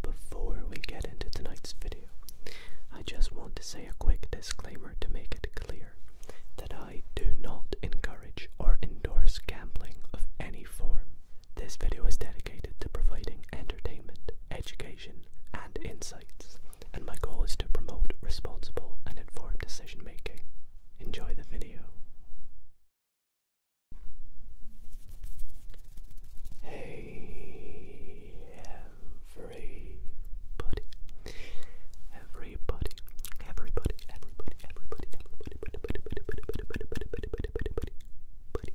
Before we get into tonight's video, I just want to say a quick disclaimer to make it clear that I do not encourage or endorse gambling of any form. This video is dedicated to providing entertainment, education, and insights, and my goal is to promote responsible and informed decision making. Enjoy the video. Hey, everybody, everybody, everybody, everybody, everybody, everybody, everybody, buddy.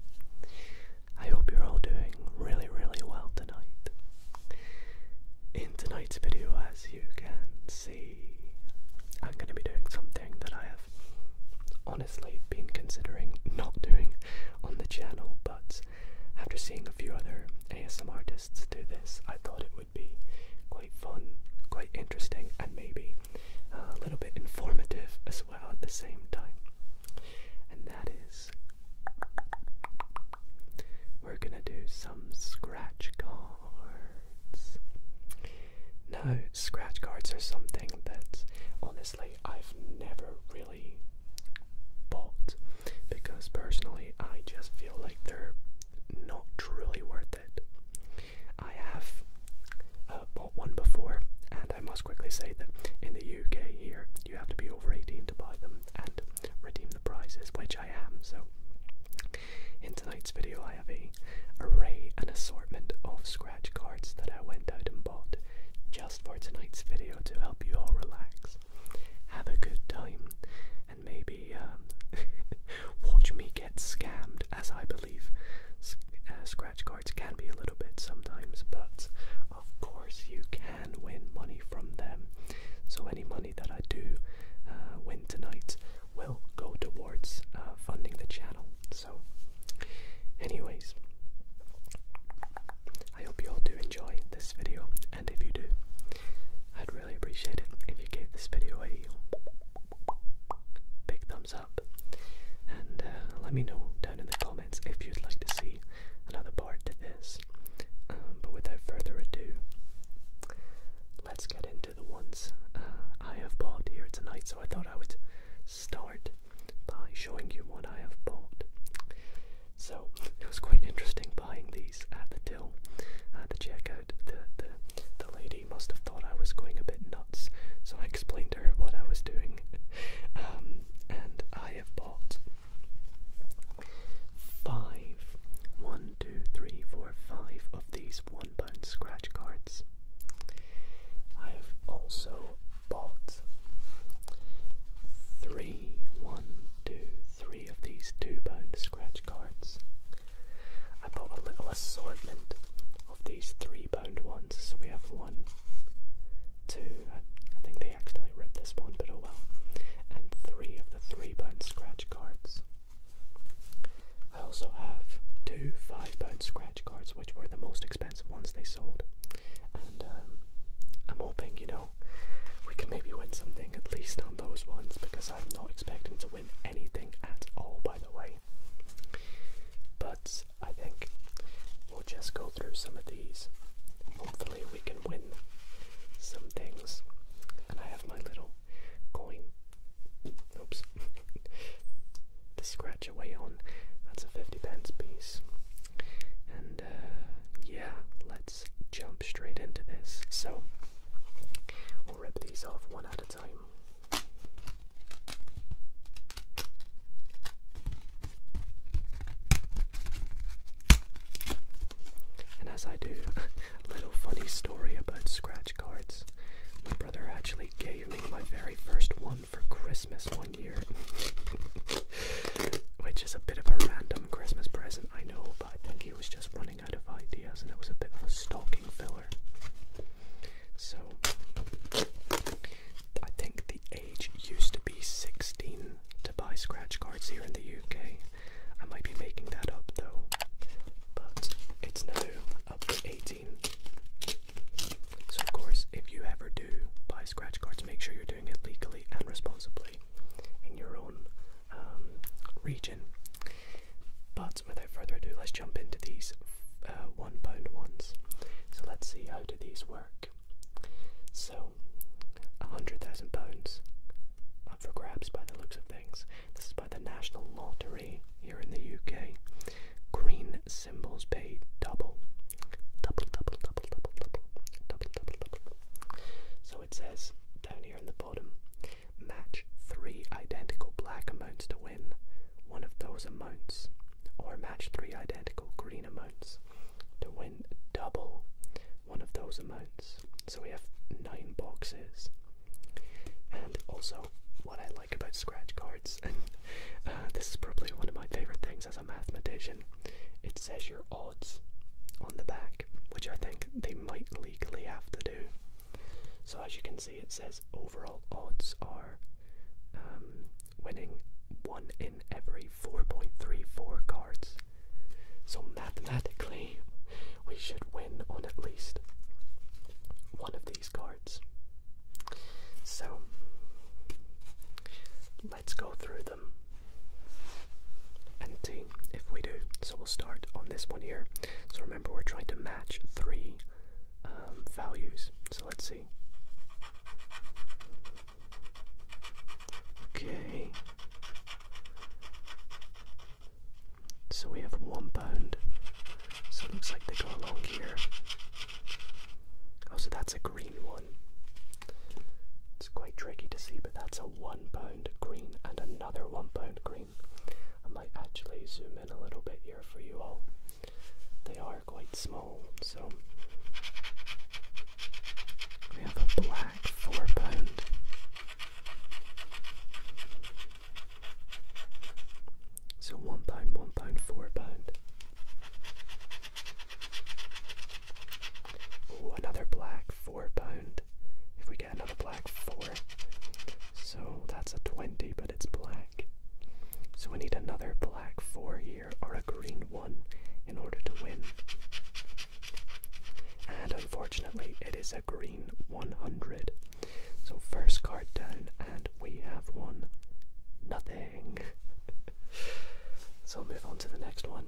I hope you're all doing really, really well tonight. In tonight's video, as you can see, I'm going to be doing something that I have honestly been considering not doing on the channel, but after seeing a few other ASM artists do this, I thought it would be quite fun, quite interesting, and maybe uh, a little bit informative as well at the same time. And that is, we're gonna do some scratch cards. Now, scratch cards are something that on I've never really bought because personally, I just feel like they're not truly worth it. I have uh, bought one before, and I must quickly say that in the UK here, you have to be over 18 to buy them and redeem the prizes, which I am. So, in tonight's video, I have a array, an assortment of scratch cards that I went out and bought just for tonight's video to help you all relax, have a good time, and maybe um, watch me get scammed, as I believe uh, scratch cards can be a little bit sometimes, but of course you can win money from them. So any money that I do uh, win tonight will go towards uh, funding the channel. So, anyways, I hope you all do enjoy this video, and if you do, I'd really appreciate it if you gave this video a big thumbs up, and uh, let me know down in the comments if you'd like to see another part to this. Um, but without further ado, let's get into the ones uh, I have bought here tonight. So I thought I would start by showing you what I have bought. So it was quite interesting buying these at the till, at the checkout. The, the, the lady must have thought I was going a bit nuts, so I explained to her what I was doing. Um, and I have bought five, one, two, three, four, five of these one pound scratch cards. I have also pods. Three, one, two, three of these two pound scratch cards. I bought a little assortment of these three pound ones, so we have one, two, I, I think they accidentally ripped this one, but oh well, and three of the three pound scratch cards. I also have two five pound scratch cards, which were the most expensive ones they sold. And um, I'm hoping, you know, we can maybe win something at least on those ones because I'm not expecting to win anything at all, by the way. But I think we'll just go through some of these. Hopefully, we can win some things. And I have my little coin. Oops. to scratch away on. That's a 50 pence piece. And uh, yeah, let's jump straight into this. So we'll rip these off one at a time. And as I do, a little funny story about scratch cards. My brother actually gave me my very first one for Christmas one year, which is a bit of a random Christmas present, I know, but I think he was just running out of ideas and it was a bit of a stocking filler. So, I think the age used to be 16 to buy scratch cards here in the UK. I might be making that up though, but it's now up to 18. So of course, if you ever do buy scratch cards, make sure you're doing it legally and responsibly in your own um, region. But without further ado, let's jump into these uh, one pound ones. So let's see how do these work. So, a hundred thousand pounds up uh, for grabs by the looks of things. This is by the National Lottery here in the UK. Green symbols pay double. Double, double, double, double, double, double, double, So it says down here in the bottom match three identical black amounts to win one of those amounts, or match three identical green amounts to win double one of those amounts. So we have nine boxes. And also, what I like about scratch cards, and uh, this is probably one of my favorite things as a mathematician, it says your odds on the back, which I think they might legally have to do. So as you can see, it says overall odds are um, winning one in every 4.34 cards. So mathematically, we should win on at least one of these cards. So let's go through them and see if we do. So we'll start on this one here. So remember, we're trying to match three um, values. So let's see. Okay. So we have one pound. So it looks like they go along here. Oh, so that's a green one. It's quite tricky to see, but that's a one pound green and another one pound green. I might actually zoom in a little bit here for you all. They are quite small, so we have a black four pound. So one pound, one pound, four pound. Oh, another black, four pound. If we get another black, four. So that's a 20, but it's black. So we need another black four here, or a green one, in order to win. And unfortunately, it is a green 100. So first card down, and we have won nothing. so I'll move on to the next one.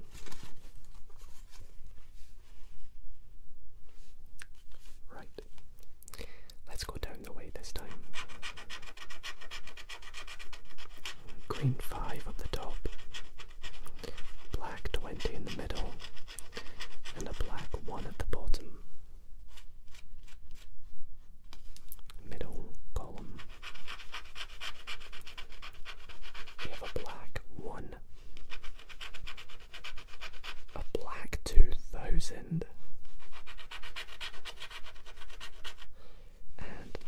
Right. Let's go down the way this time. Green 5 up the top, black 20 in the middle, and a black 1 at the bottom. Middle column. We have a black one, a black two thousand, and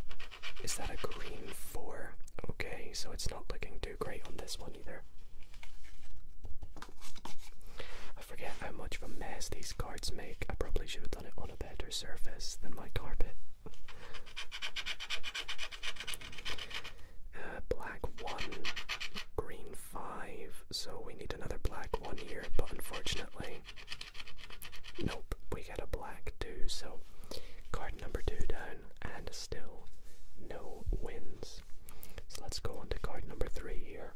is that a green four? Okay, so it's not looking too great on this one either. I forget how much of a mess these cards make. I probably should have done it on a better surface than my carpet. Uh, black 1, green 5, so we need another black 1 here, but unfortunately, nope, we get a black 2, so card number 2 down, and still no wins. So let's go on to card number 3 here.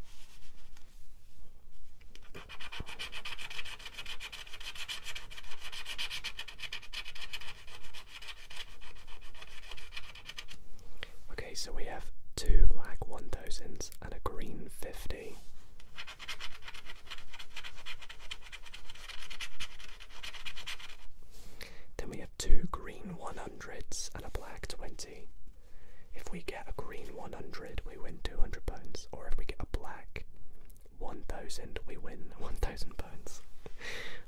Okay, so we have two black 1000s and a green 50. Then we have two green 100s and a black 20. If we get a green 100, we win 200 pounds, or if we get a black 1000 we win 1000 pounds.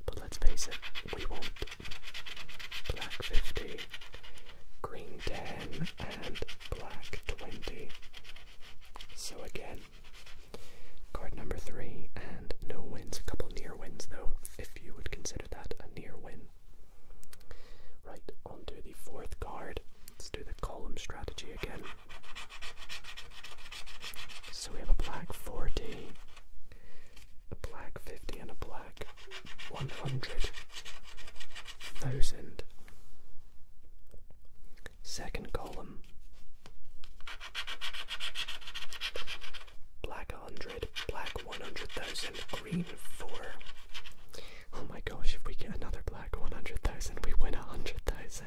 But let's face it, we want black 50, green 10, and black 20. So again, card number 3, and no wins, a couple near wins though, if you would consider that a near win. Right, on to the fourth card. Let's do the column strategy again. So we have a black 40, a black 50, and a black 100,000. Second column. Black 100, black 100,000, green 4. Oh my gosh, if we get another Mr. 100,000. We win 100,000.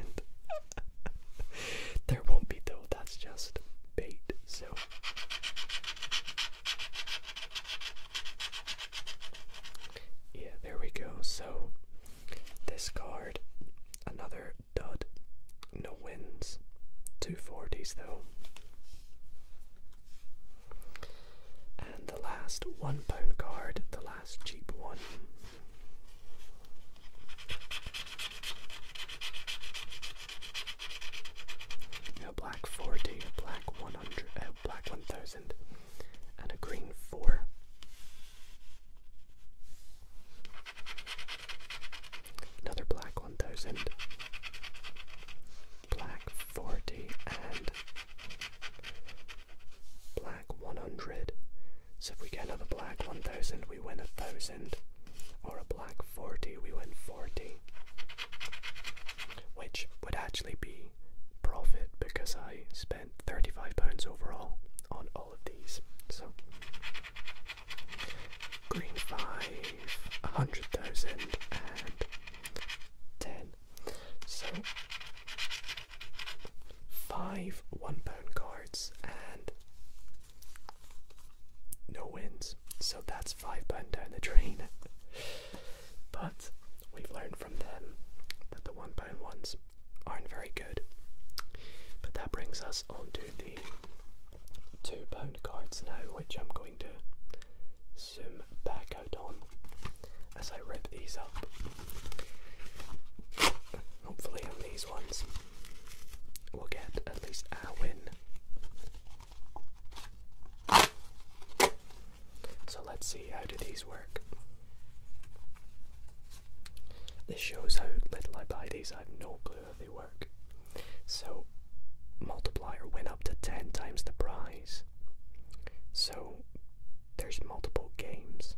there won't be though, that's just bait. So. Yeah, there we go. So, this card, another dud. No wins. Two forties though. And the last one pound card, the last cheap one. A black 40, a black 100, a black 1000, and a green 4. Another black 1000, black 40, and black black 100. So if we get another black 1000, we win 1000. Or a black 40, we win 40. Which would actually be profit because I spent £35 overall on all of these. So green 5, and 10. So five one pound cards and no wins. So that's five pound down the drain. but we've learned from them that the one pound ones aren't very good. But that brings us on to the two pound cards now, which I'm going to zoom back out on as I rip these up. Hopefully, on these ones, we'll get at least our win. So, let's see how do these work. This shows how little I buy these, I have no clue how they work. So, multiplier went up to 10 times the prize. So, there's multiple games.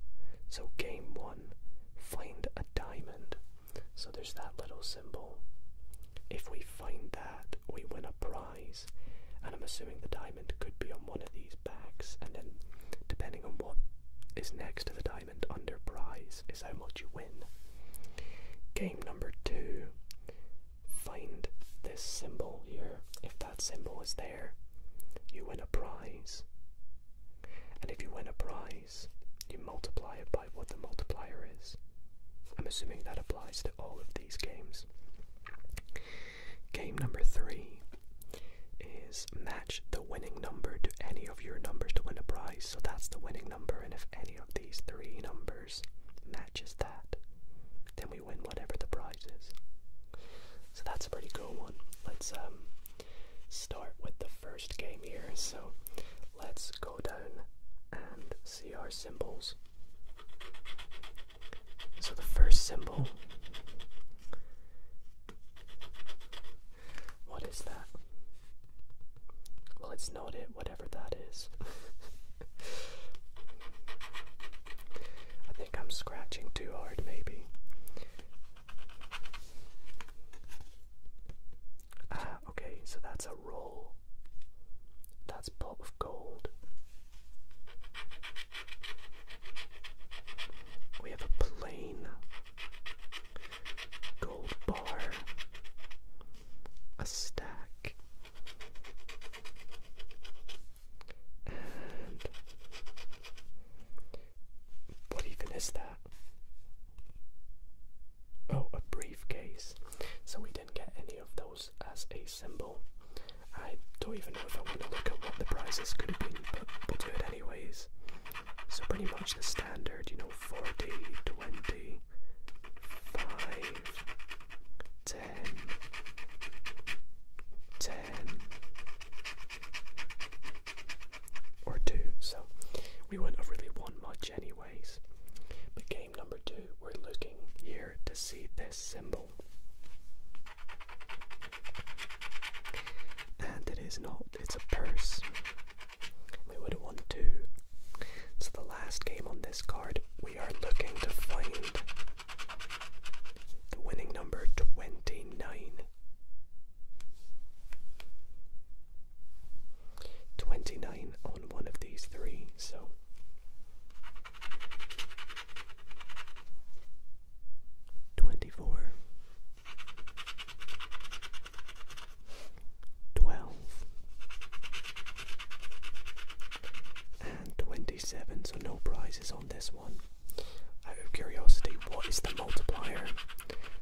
So, game 1 find a diamond. So there's that little symbol. If we find that, we win a prize. And I'm assuming the diamond could be on one of these backs. And then, depending on what is next to the diamond under prize, is how much you win. Game number two find this symbol here. If that symbol is there, you win a prize. And if you win a prize, you multiply it by what the multiplier is. I'm assuming that applies to all of these games. Game number three is match the winning number to any of your numbers to win a prize. So that's the winning number, and if any of these three numbers matches that, then we win whatever the prize is. So that's a pretty cool one. Let's um start with the first game here. So let's go down and see our symbols. So the first symbol. What is that? Well, it's not it, whatever that is. I think I'm scratching too hard, maybe. Ah, okay, so that's a roll. That's pot of gold. We have a plain gold bar, a stack, and what even is that? Oh, a briefcase. So we didn't get any of those as a symbol. I don't even know if I want to look at what the prizes could have been, but we'll do it anyways. So pretty much the standard, you know, 40, 20, 5, 10, 10, or two, so we wouldn't really won much, anyways. But game number two, we're looking here to see this symbol. And it is not, it's a purse. We would have won two. So the last game on this card, we are looking to find the winning number 29. 29 on one of these three, so twenty four, twelve, and twenty seven, so no prizes this one. Out of curiosity, what is the multiplier?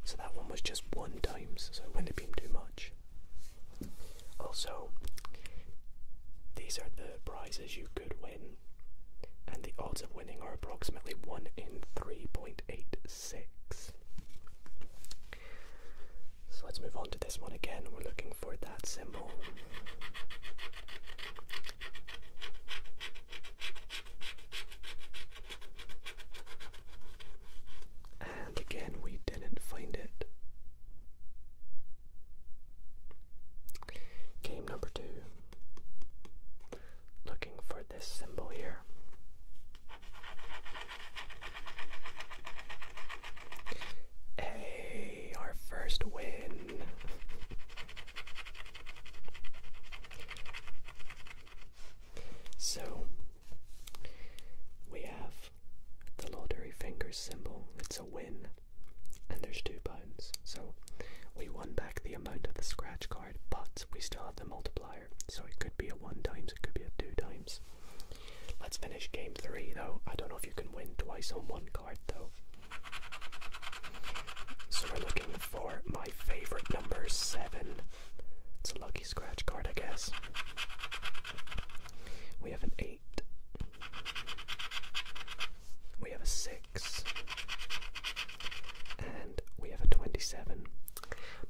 So that one was just one times, so it wouldn't have been too much. Also, these are the prizes you could win, and the odds of winning are approximately 1 in 3.86. So let's move on to this one again. We're looking for that symbol. And again, we didn't find it. Game number two. Looking for this symbol here. Hey, our first win. So we have the lottery fingers symbol, it's a win, and there's two bones. So we won back the amount of the scratch card, but we still have the multiplier, so it could be a one times, it could be a two times. Let's finish game three though. I don't know if you can win twice on one card though. So we're looking for my my favorite number seven. It's a lucky scratch card, I guess. We have an eight. We have a six. And we have a 27.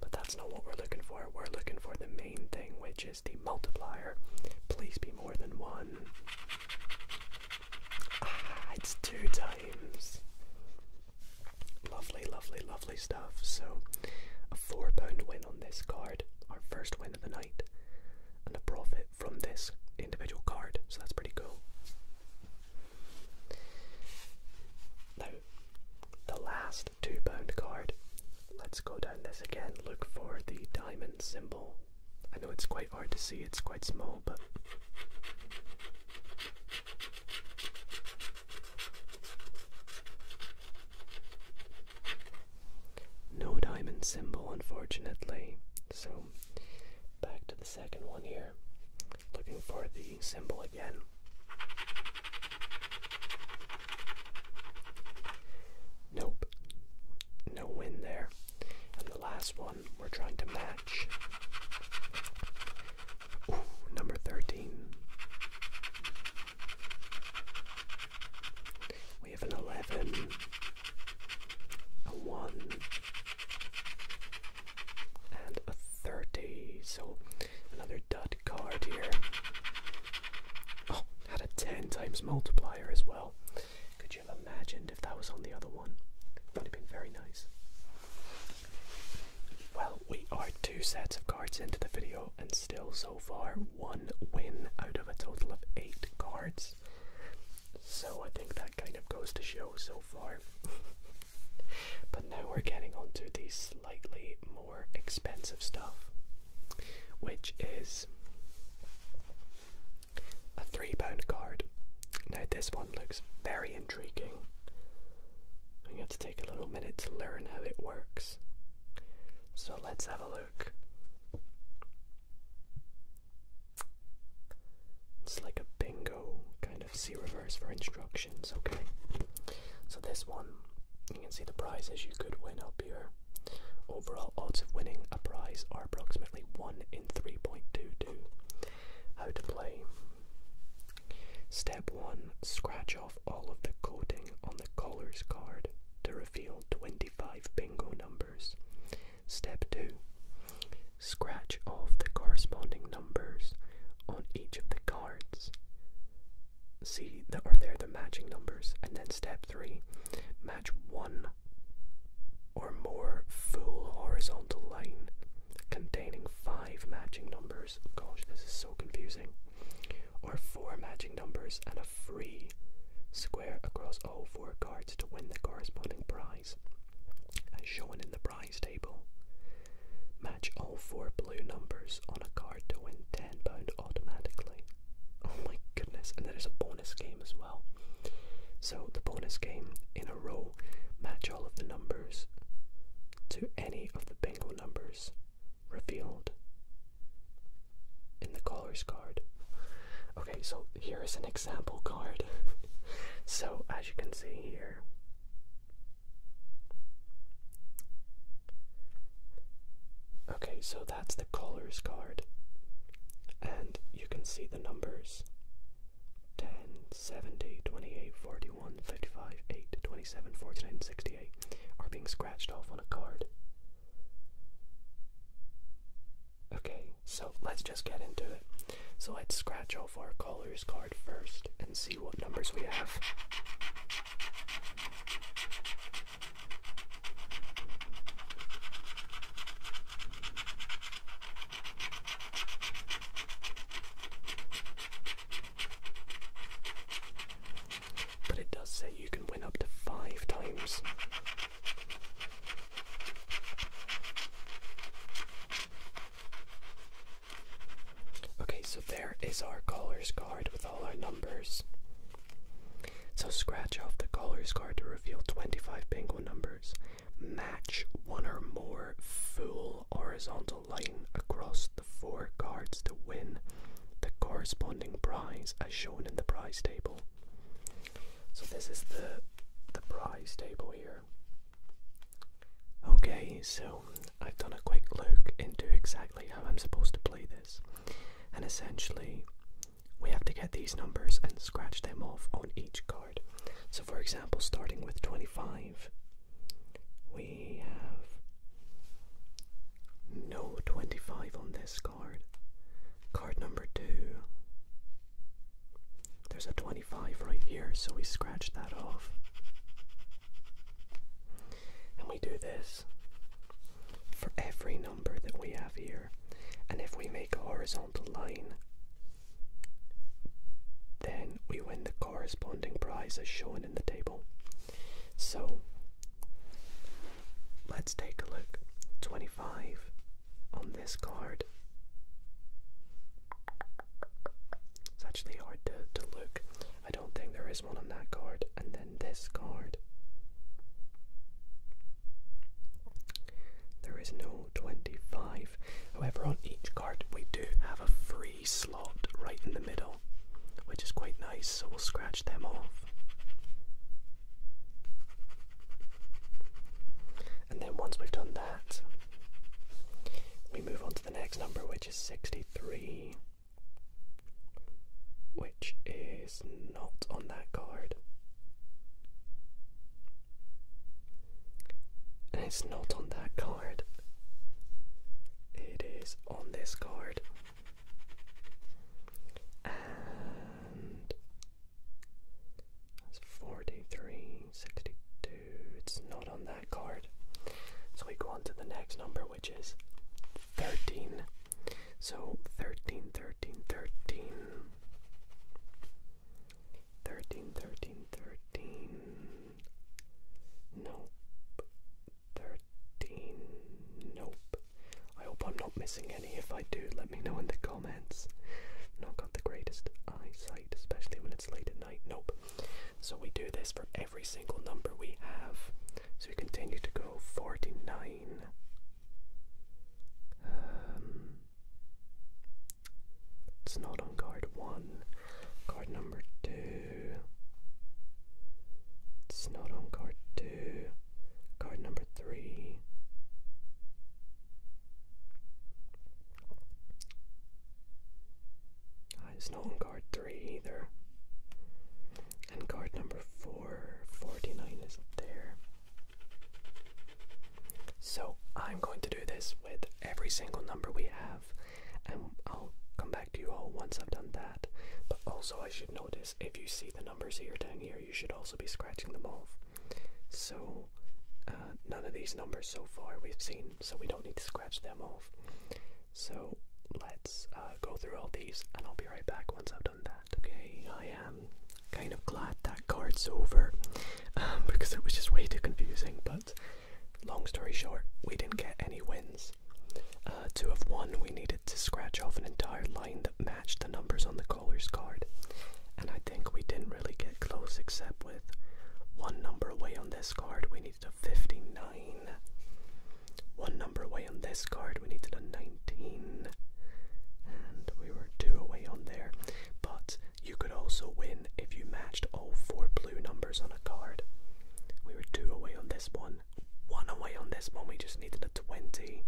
But that's not what we're looking for. We're looking for the main thing, which is the multiplier. Please be more than one. Ah, it's two times. Lovely, lovely, lovely stuff. So, a £4 win on this card, our first win of the night, and a profit from this individual card. So, that's pretty cool. Now, the last £2 card. Let's go down this again. Look for the diamond symbol. I know it's quite hard to see, it's quite small, but no diamond symbol, unfortunately. So back to the second one here. Looking for the symbol again. Nope. No win there. And the last one we're trying to match number 13. We have an 11, a 1, and a 30. So another dud card here. Oh, had a 10 times multiplier as well. Could you have imagined if that was on the other one? Would have been very nice. Well, we are two sets of cards into the video, and still so far one win out of a total of eight cards. So I think that kind of goes to show so far. but now we're getting onto the slightly more expensive stuff, which is a £3 card. Now, this one looks very intriguing. I'm going to take a little minute to learn how it works. So let's have a look. It's like a bingo kind of see reverse for instructions, okay? So this one, you can see the prizes you could win up here. Overall odds of winning a prize are approximately 1 in 3.22. How to play. Step 1 Scratch off all of the coating on the caller's card to reveal 25 bingo numbers. Step 2 Scratch off the corresponding numbers on each of the cards. See that are there the matching numbers, and then step 3 Match one or more full horizontal line containing five matching numbers. Gosh, this is so confusing. Or four matching numbers and a free square across all four cards to win the corresponding prize. As shown in the prize table, match all four blue numbers on a card to win £10 automatically. Oh my goodness, and there is a bonus game as well. So, the bonus game in row match all of the numbers to any of the bingo numbers revealed in the caller's card. Okay, so here is an example card. so, as you can see here, okay, so that's the caller's card, and you can see the numbers 10, 70, 28, 41, 55, 8, 27, 49, 68 are being scratched off on a card. Okay, so let's just get into it. So let's scratch off our caller's card first and see what numbers we have. But it does say you can win up to five times. Okay, so there is our caller's card with all our numbers. So scratch off the caller's card to reveal 25 penguin numbers. Match one or more full horizontal line across the four cards to win the corresponding prize as shown in the prize table. So this is the the prize table here. Okay, so I've done a quick look into exactly how I'm supposed to play this. And essentially, we have to get these numbers and scratch them off on each card. So for example, starting with 25, we have no 25 on this card. Card number 2. There's a 25 right here, so we scratch that off. And we do this for every number that we have here. And if we make a horizontal line, then we win the corresponding prize as shown in the table. So let's take a look. 25 on this card. It's actually hard to, to look. I don't think there is one on that card. And then this card. There is no 25 However, on each card we do have a free slot right in the middle, which is quite nice, so we'll scratch them off. And then once we've done that, we move on to the next number, which is 63, which is not on that card. And it's not on that card. It is on this card. And that's 43, 62. It's not on that card. So we go on to the next number, which is 13. So 13, 13, 13, 13. Nope. Thirteen. Nope. I hope I'm not missing any. If I do, let me know in the comments. Not got the greatest eyesight, especially when it's late at night. Nope. So we do this for every single number we have. So we continue to go 49. Um, it's not on card 1. Card number two. It's not on card two. Card number three. Ah, it's not on card three either. And card number four, is up there. So I'm going to do this with every single number we have. And I'll come back to you all once I've done that. But also, I should notice if you see the numbers here down here, you should also be scratching them off. So, uh, none of these numbers so far we've seen, so we don't need to scratch them off. So, let's uh, go through all these and I'll be right back once I've done that. Okay, I am kind of glad that card's over because it was just way too confusing, but Long story short, we didn't get any wins. Uh, to have won, we needed to scratch off an entire line that matched the numbers on the caller's card, and I think we didn't really get close except with one number away on this card, we needed a 59. One number away on this card, we needed a 19. And we were two away on there. But you could also win if you matched all four blue numbers on a card. We were two away on this one, one away on this one, we just needed a 20.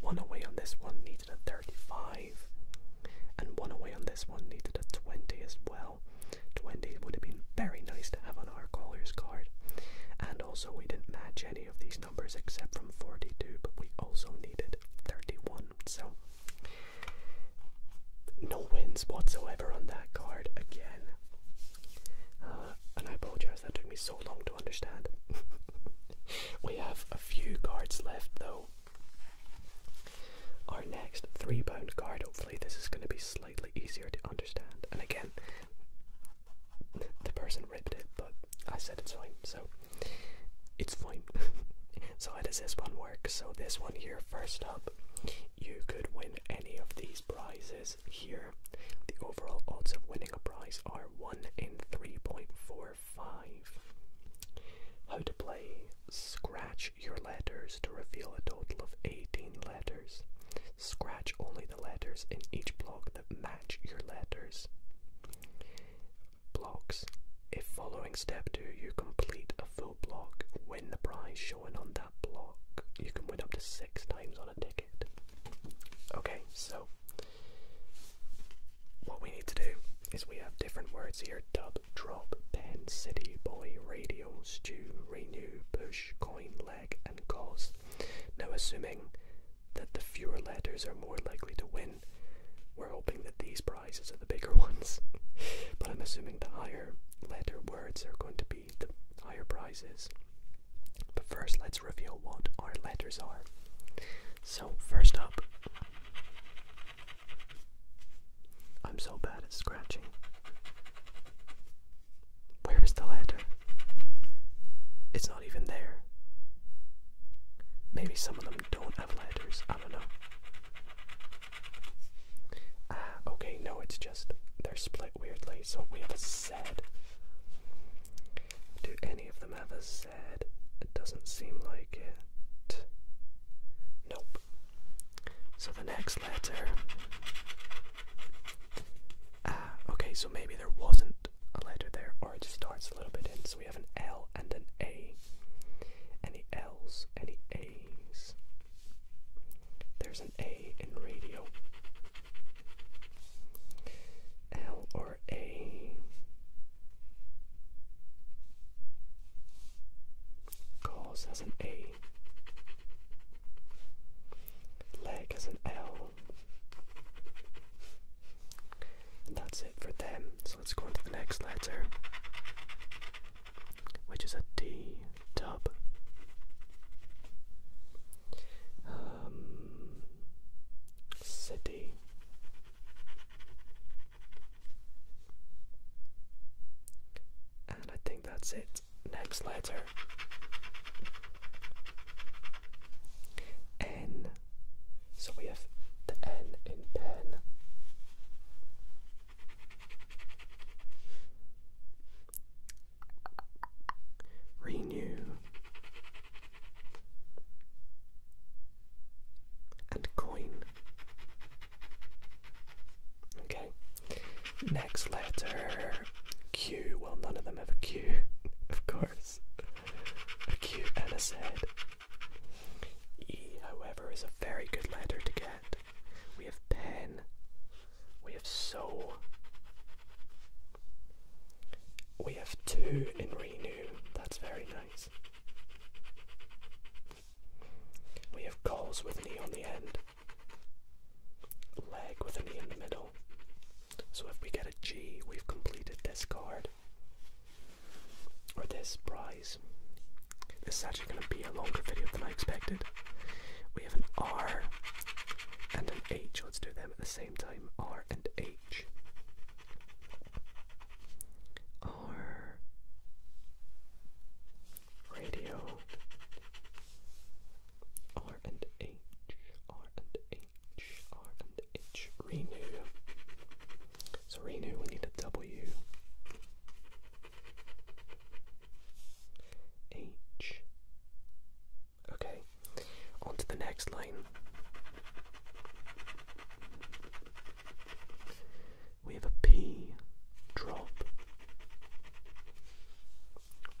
One away on this one needed a 35. And one away on this one needed a 20 as well. 20 would have been very nice to have on our caller's card. And also, we didn't match any of these numbers except from 42, but we also needed 31. So no wins whatsoever on that card again. Uh, and I apologize, that took me so long to understand. we have a few cards left though. Our next three bound card, hopefully, this is going to be slightly easier to understand. And again, the person ripped it, but I said it's fine, so it's fine. so, how does this one work? So, this one here, first up, you could win any of these prizes here. The overall odds of winning a prize are 1 in 3.45. How to play. Scratch your letters to reveal a total of 18 letters. Scratch only the letters in each block that match your letters. Blocks. If following step 2 you complete a full block, win the prize showing on that block. You can win up to six times on a ticket. Okay, so what we need to do is we have different words here dub, drop, pen, city, boy, radio, stew, renew, push, coin, leg, and cause. Now, assuming that the fewer letters are more likely to win, we're hoping that these prizes are the bigger ones. but I'm assuming the higher letter words are going to be the higher prizes. But first, let's reveal what our letters are. So, first up, I'm so bad at scratching. Where is the letter? It's not even there. Maybe some of them don't have letters, I don't know. Ah, okay, no, it's just they're split weirdly, so we have a Z. Do any of them have a Z? It doesn't seem like it. Nope. So the next letter. Ah, okay, so maybe there wasn't a letter there, or it just starts a little bit in. So we have an L and an A. Any L's? Any A's? There's an A in radio. L or A. Cause has an A. Leg has an L. And that's it for them. So let's go on to the next letter which is a D dub. Um, city. And I think that's it. Next letter N. So we have the N in pen renew, and coin. Okay, next letter Q. Well, none of them have a Q, of course. A Q and a Z. E, however, is a very good letter to get. We have pen, we have Soul. We have two in Renew. That's very nice. We have Goals with knee on the end. Leg with an E in the middle. So if we get a G, we've completed this card. Or this prize. This is actually going to be a longer video than I expected. We have an R and an H. Let's do them at the same time. R and H. R. Radio. R and H. R and H. R and H. Renew. So renew, we need a W. H. Okay, on to the next line. We have a P drop.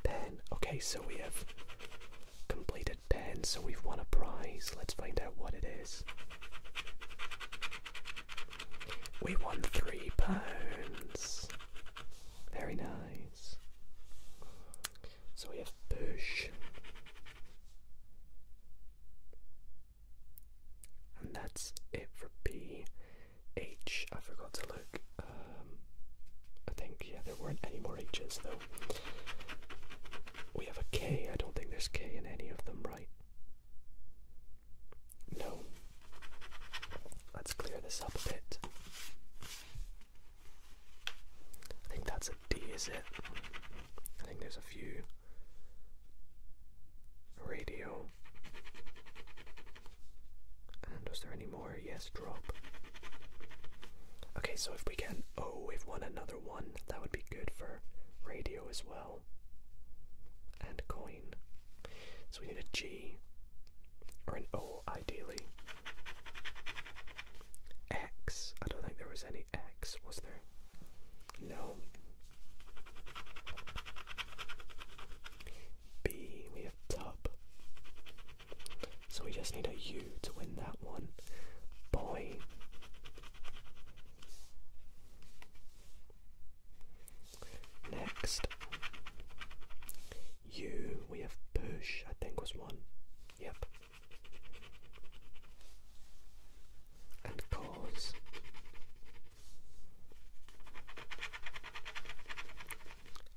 Pen. Okay, so we have completed pen, so we've won a prize. Let's find out what it is. We won three pounds. Very nice. So we have bush, And that's it for B. H, I forgot to look. Um, I think, yeah, there weren't any more H's though. We have a K, I don't think there's K in any of them, right? No. Let's clear this up a bit. I think that's a D, is it? I think there's a few. Radio. And was there any more? Yes, drop. Okay, so if we can. Oh, we've won another one. That would be good for radio as well. And coin. So we need a G or an O ideally. X. I don't think there was any X, was there? No. B. We have tub. So we just need a U to win that one. Boy. Next, U, we have push, I think was one. Yep. And cause.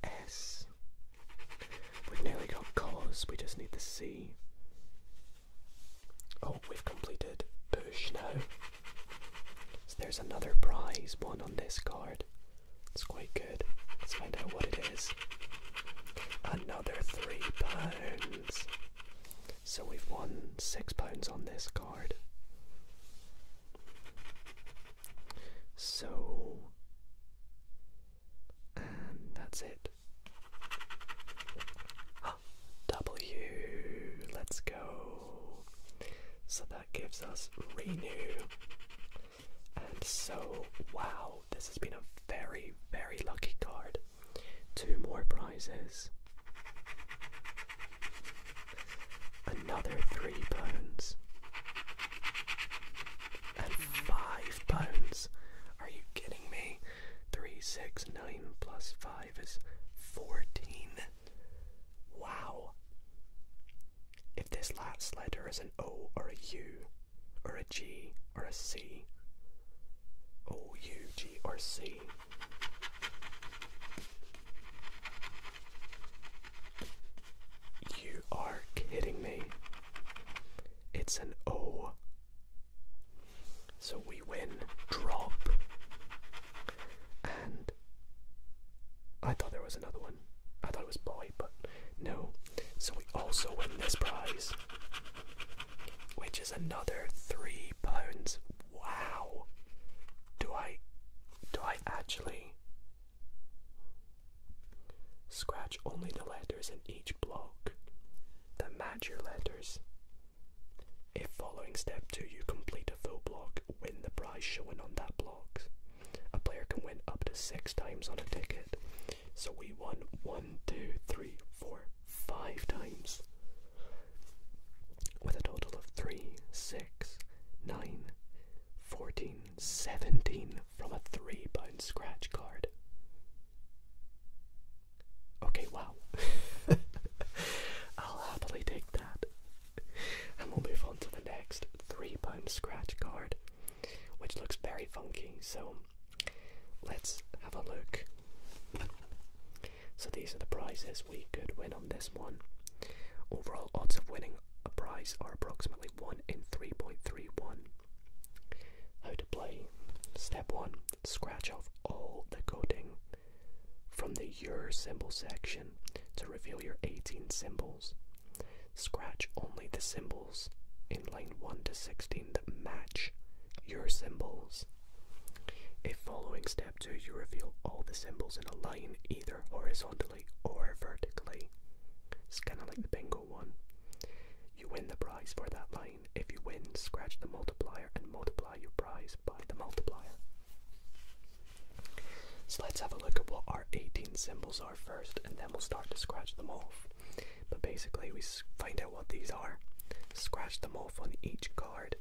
S. We've nearly got cause, we just need the C. Oh, we've completed push now. So there's another prize, one on this card. It's quite good. Let's find out what it is. Another three pounds. So we've won six pounds on this card. So, and that's it. W, let's go. So that gives us Renew. And so, wow, this has been a very, very lucky card. Two more prizes. Another three bones, And five bones. Are you kidding me? Three, six, nine plus five is fourteen. Wow. If this last letter is an O or a U or a G or a C, O, U, G, or C. You are kidding me. It's an O. So we win drop. And I thought there was another one. I thought it was boy, but no. So we also win this prize, which is another three pounds. Wow. Do I do I actually scratch only the letters in each block that match your letters? If following step two you complete a full block, win the prize shown on that block. A player can win up to six times on a ticket. So we won one, two, three, four, five times. With a total of three, six, nine, fourteen, seventeen from a £3 scratch card. Okay, wow. I'll happily take that and we'll move on to the next three pound scratch card, which looks very funky. So let's have a look. So these are the prizes we could win on this one. Overall odds of winning a prize are approximately 1 in 3.31. How to play. Step 1. Scratch off all the coding from the your symbol section to reveal your 18 symbols. Scratch only the symbols in line 1 to 16 that match your symbols. If following step 2 you reveal all the symbols in a line either horizontally or vertically, it's kind of like the bingo one. You win the prize for that line. If you win, scratch the multiplier and multiply your prize by the multiplier. So let's have a look at what our 18 symbols are first, and then we'll start to scratch them off. But basically, we find out what these are, scratch them off on each card,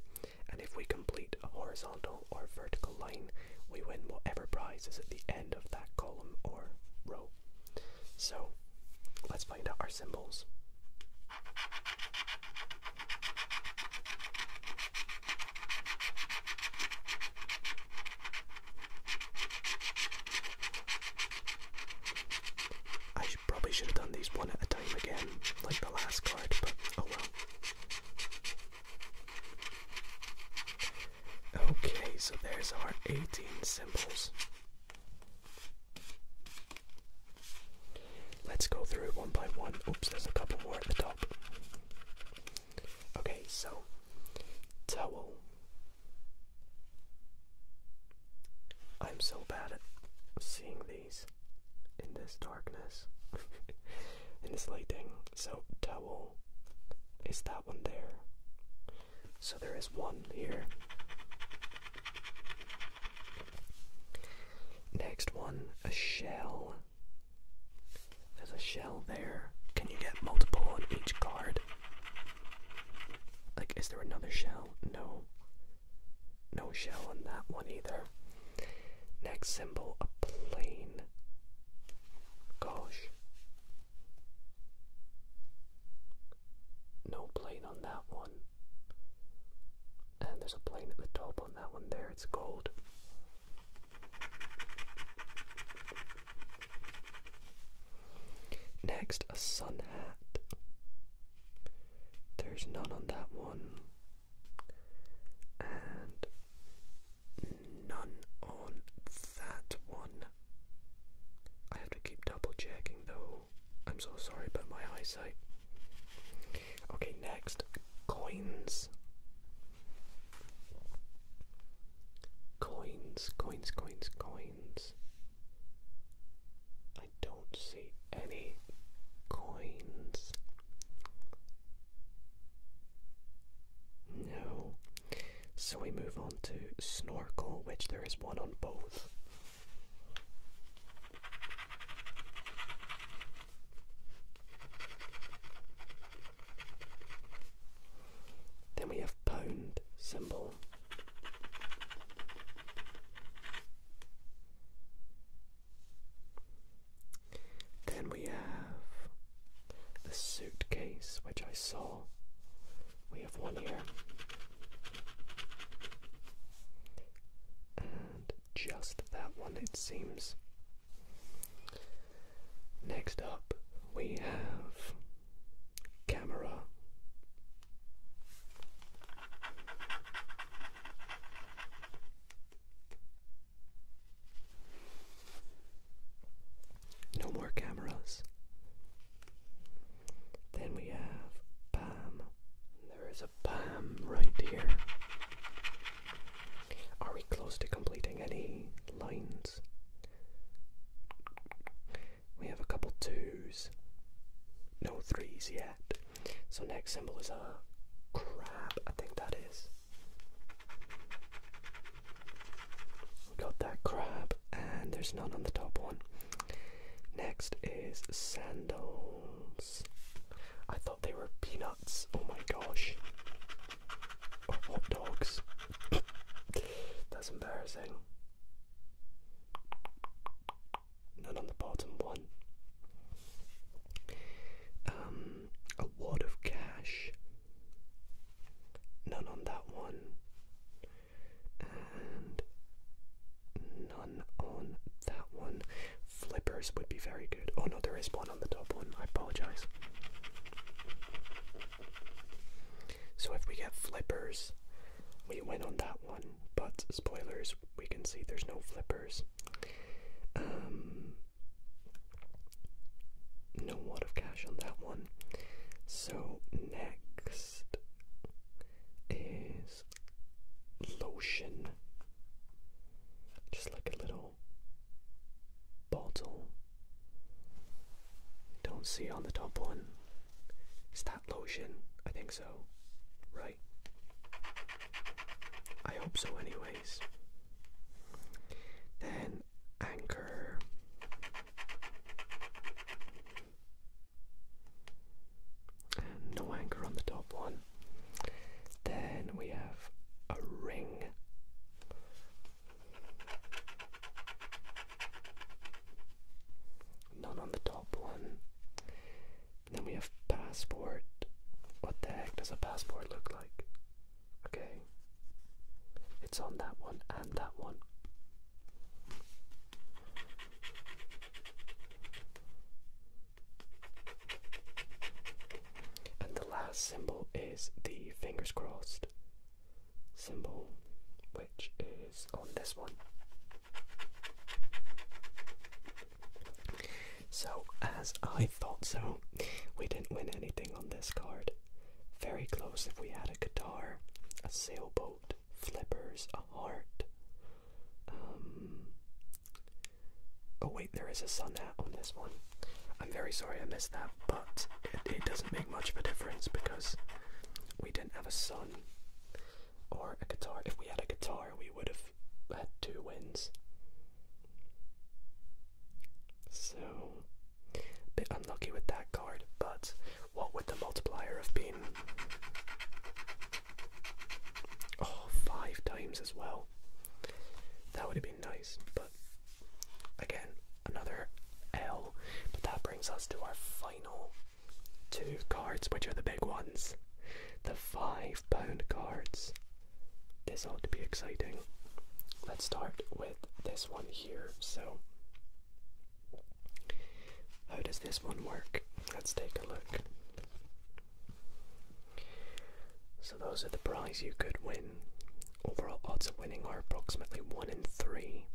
and if we complete a horizontal or vertical line, we win whatever prize is at the end of that column or row. So let's find out our symbols. I probably should have done these one at a time again, like the last card, but oh well. Okay, so there's our 18 symbols. Let's go through one by one. Oops, there's a couple more at the top. Okay, so towel. I'm so bad at seeing these in this darkness, in this lighting. So, towel is that one there. So, there is one here. Next one, a shell. There's a shell there. Can you get multiple on each card? Like, is there another shell? No. No shell on that one either. Next symbol, a plane. Gosh. No plane on that one. And there's a plane at the top on that one there, it's gold. Next, a sun hat. There's none on that one, and none on that one. I have to keep double checking though. I'm so sorry about my eyesight. Okay, next coins. Coins, coins, coins, coins. I don't see any coins. No. So we move on to snorkel, which there is one on both. Then we have pound symbol. Then we have the suitcase, which I saw. We have one here. And just that one, it seems. Next up, we have camera. No more cameras. Then we have Pam. There is a Pam right here. Are we close to completing any lines? We have a couple twos, no threes yet. So, next symbol is a crab, I think that is. got that crab, and there's none on the top one. Next is sandals. I thought they were peanuts. Oh my gosh. Oh, hot dogs. That's embarrassing. None on the bottom one. Um, a wad of cash. None on that one. And none on that one. Flippers would be very good. Oh no, there is one on the top one. I apologize. So if we get flippers, we win on that one. But spoilers, we can see there's no flippers. Um, no wad of cash on that one. So next is lotion. Just like a little bottle don't see on the top one. Is that lotion? I think so. Right? I hope so, anyways. Then Anchor. no anchor on the top one. Then we have a ring. None on the top one. then we have passport. What the heck does a passport look like? Okay. It's on that one and that one. And the last symbol is the fingers crossed symbol, which is on this one. So, as I thought so, we didn't win anything on this card. Very close if we had a guitar, a sailboat, flippers, a heart. Um, oh, wait, there is a sun hat on this one. I'm very sorry I missed that, but it, doesn't make much of a difference because we didn't have a sun or a guitar. If we had a guitar, we would have had two wins. So, a bit unlucky with that card, but what would the multiplier have been? Oh, five times as well. That would have been nice, but Again, another L, but that brings us to our final two cards, which are the big ones. The five pound cards. This ought to be exciting. Let's start with this one here. So, how does this one work? Let's take a look. So, those are the prize you could win. Overall odds of winning are approximately 1 in 3.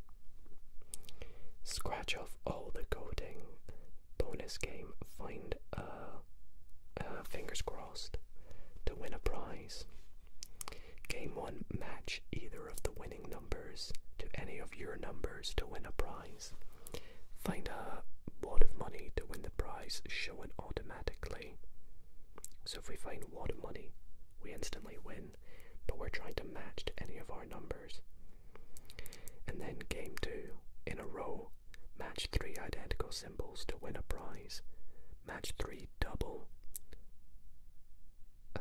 Scratch off all the coding. Bonus game. Find a. Uh, uh, fingers crossed to win a prize. Game 1 match either of the winning numbers to any of your numbers to win a prize. Find a lot of money to win the prize Show it automatically. So if we find a lot of money, we instantly win but we're trying to match to any of our numbers. And then game 2, in a row, match 3 identical symbols to win a prize. Match 3 double uh,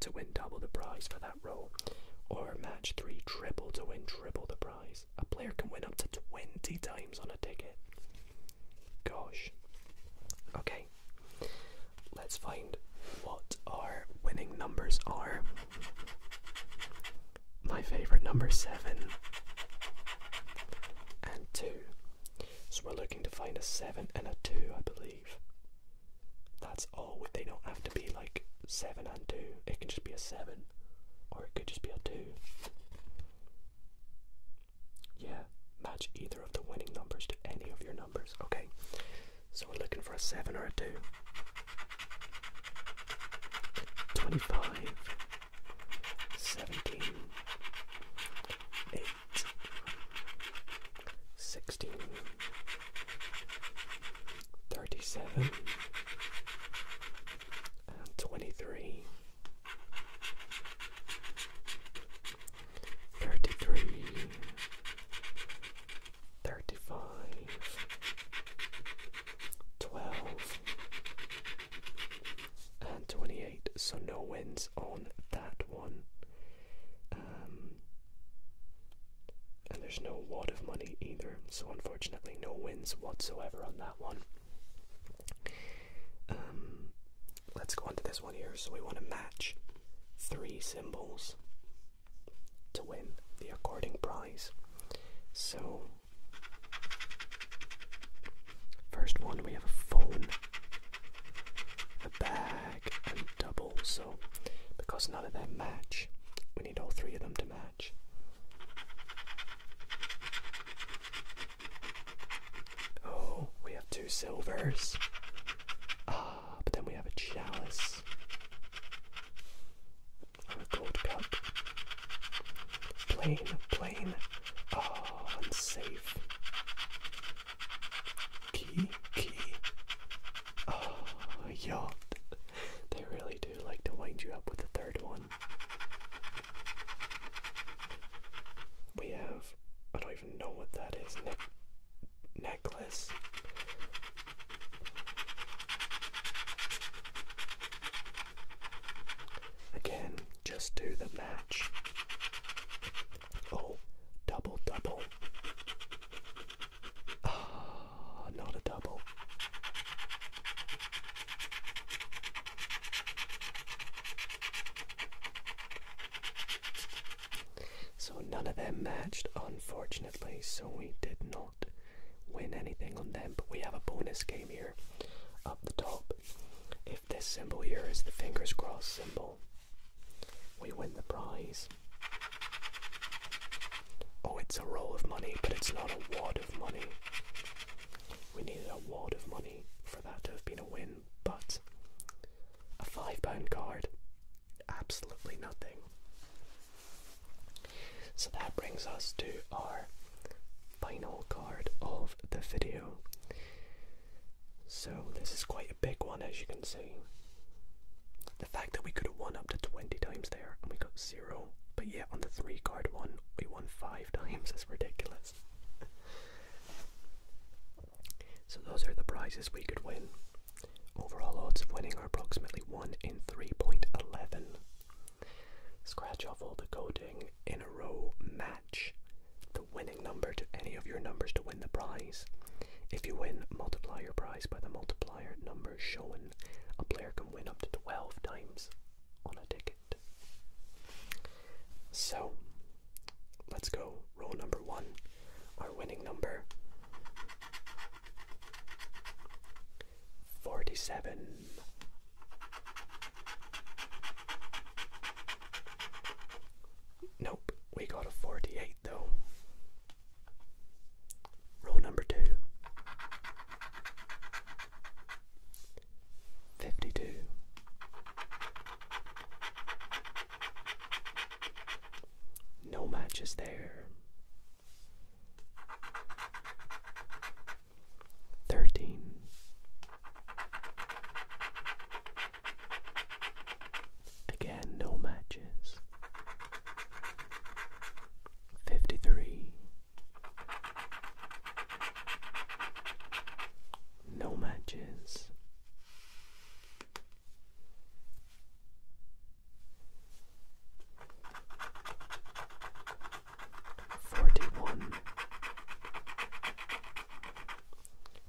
to win double the prize for that row. Or match 3 triple to win triple the prize. A player can win up to 20 times on a ticket. Gosh. Okay. Let's find what our winning numbers are. My favourite number seven and two. So we're looking to find a seven and a two, I believe. That's all. They don't have to be like seven and two. It can just be a seven, or it could just be a two. Yeah, match either of the winning numbers to any of your numbers, okay? So we're looking for a 7 or a 2. 25, 17, 8, 16, 37, and 23. 33 35 12 and 28 so no wins on that one um, and there's no wad of money either so unfortunately no wins whatsoever on that one um, Let's go into this one here. So we want to match three symbols to win the according prize. So, first one we have a phone, a bag, and double. So, because none of them match, we need all three of them to match. Oh, we have two silvers. Ah, but then we have a chalice. And a gold cup. Plain, plain. Oh, unsafe. Key, key. Oh, yacht. They really do like to wind you up with the third one. We have. I don't even know what that is necklace. Again, just do the match. Oh, double, double. Ah, not a double. So none of them matched, unfortunately, so we did not win anything on them. But we have a bonus game here up the top. If this symbol here is the fingers crossed symbol, we win the prize. Oh, it's a roll of money, but it's not a wad of money. We needed a wad of money for that to have been a win but a five pound card, absolutely nothing. So that brings us to our final card of the video. So this is quite a big one as you can see. The fact that we could have won up to 20 times there and we got zero, but yet on the three card one we won five times It's ridiculous. So those are the prizes we could win. Overall odds of winning are approximately 1 in 3.11. Scratch off all the coding in a row match the winning number to any of your numbers to win the prize. If you win, multiply your prize by the multiplier number shown. A player can win up to 12 times on a ticket. So, Let's go. Roll number one, our winning number 47. Nope, we got a 48 though. Roll number two. 52 no matches there. Thirteen. Again, no matches. Fifty three. No matches. Forty-one.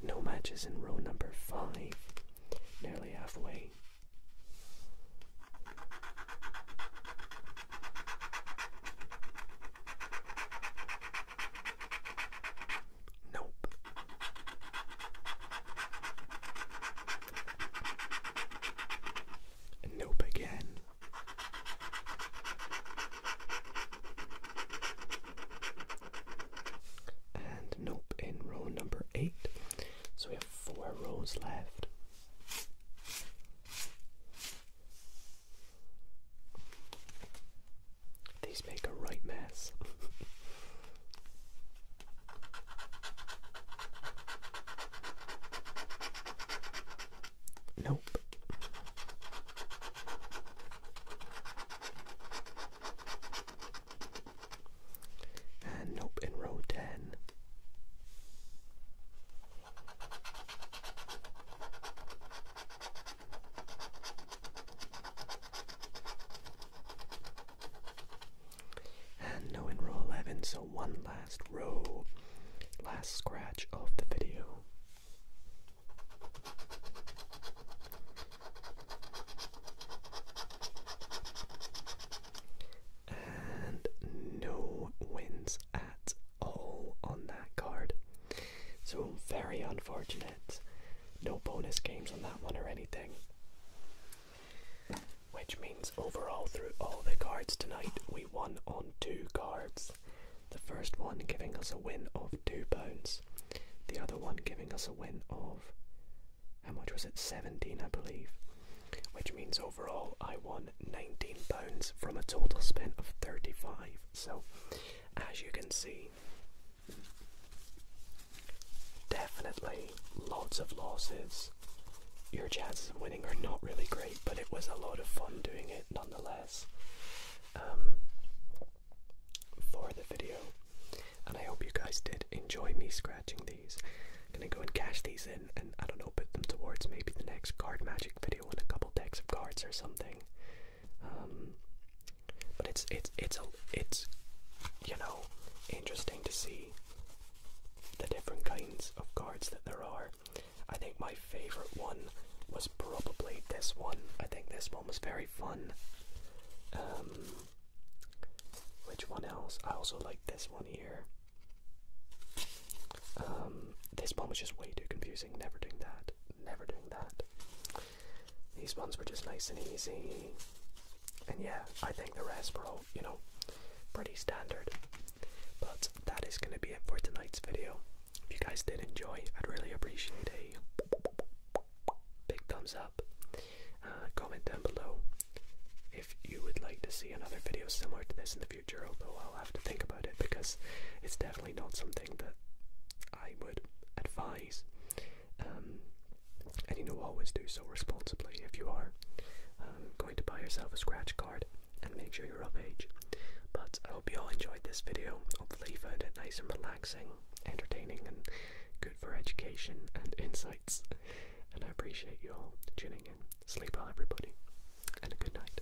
No matches in row number five, nearly halfway. Nope. Nope again. And nope in row number eight. So we have four rows left. These make a right mess. nope. And nope in row 10. And no in row 11, so one last row, last scratch of the video. And no wins at all on that card. So, very unfortunate. No bonus games on that one or anything. Which means overall, through all the cards tonight, we won on two cards. The first one giving us a win of £2, the other one giving us a win of. How much was it? 17, I believe. Which means overall I won £19 from a total spin of 35 So, as you can see, Definitely lots of losses. Your chances of winning are not really great, but it was a lot of fun doing it nonetheless um, for the video. And I hope you guys did enjoy me scratching these. gonna go and cash these in and I don't know, put them towards maybe the next card magic video and a couple decks of cards or something. Um, but it's it's it's it's you know interesting to see the different kinds of cards that there are. I think my favorite one was probably this one. I think this one was very fun. Um, which one else? I also like this one here. Um, this one was just way too confusing. Never doing that. Never doing that. These ones were just nice and easy. And yeah, I think the rest were all, you know, pretty standard. But that is going to be it for tonight's video. If you guys did enjoy, I'd really appreciate a big thumbs up. Uh, comment down below if you would like to see another video similar to this in the future, although I'll have to think about it because it's definitely not something that I would advise and you know, always do so responsibly if you are going to buy yourself a scratch card and make sure you're of age. But I hope you all enjoyed this video. Hopefully, you found it nice and relaxing, entertaining, and good for education and insights. And I appreciate you all tuning in. Sleep well, everybody, and a Good night.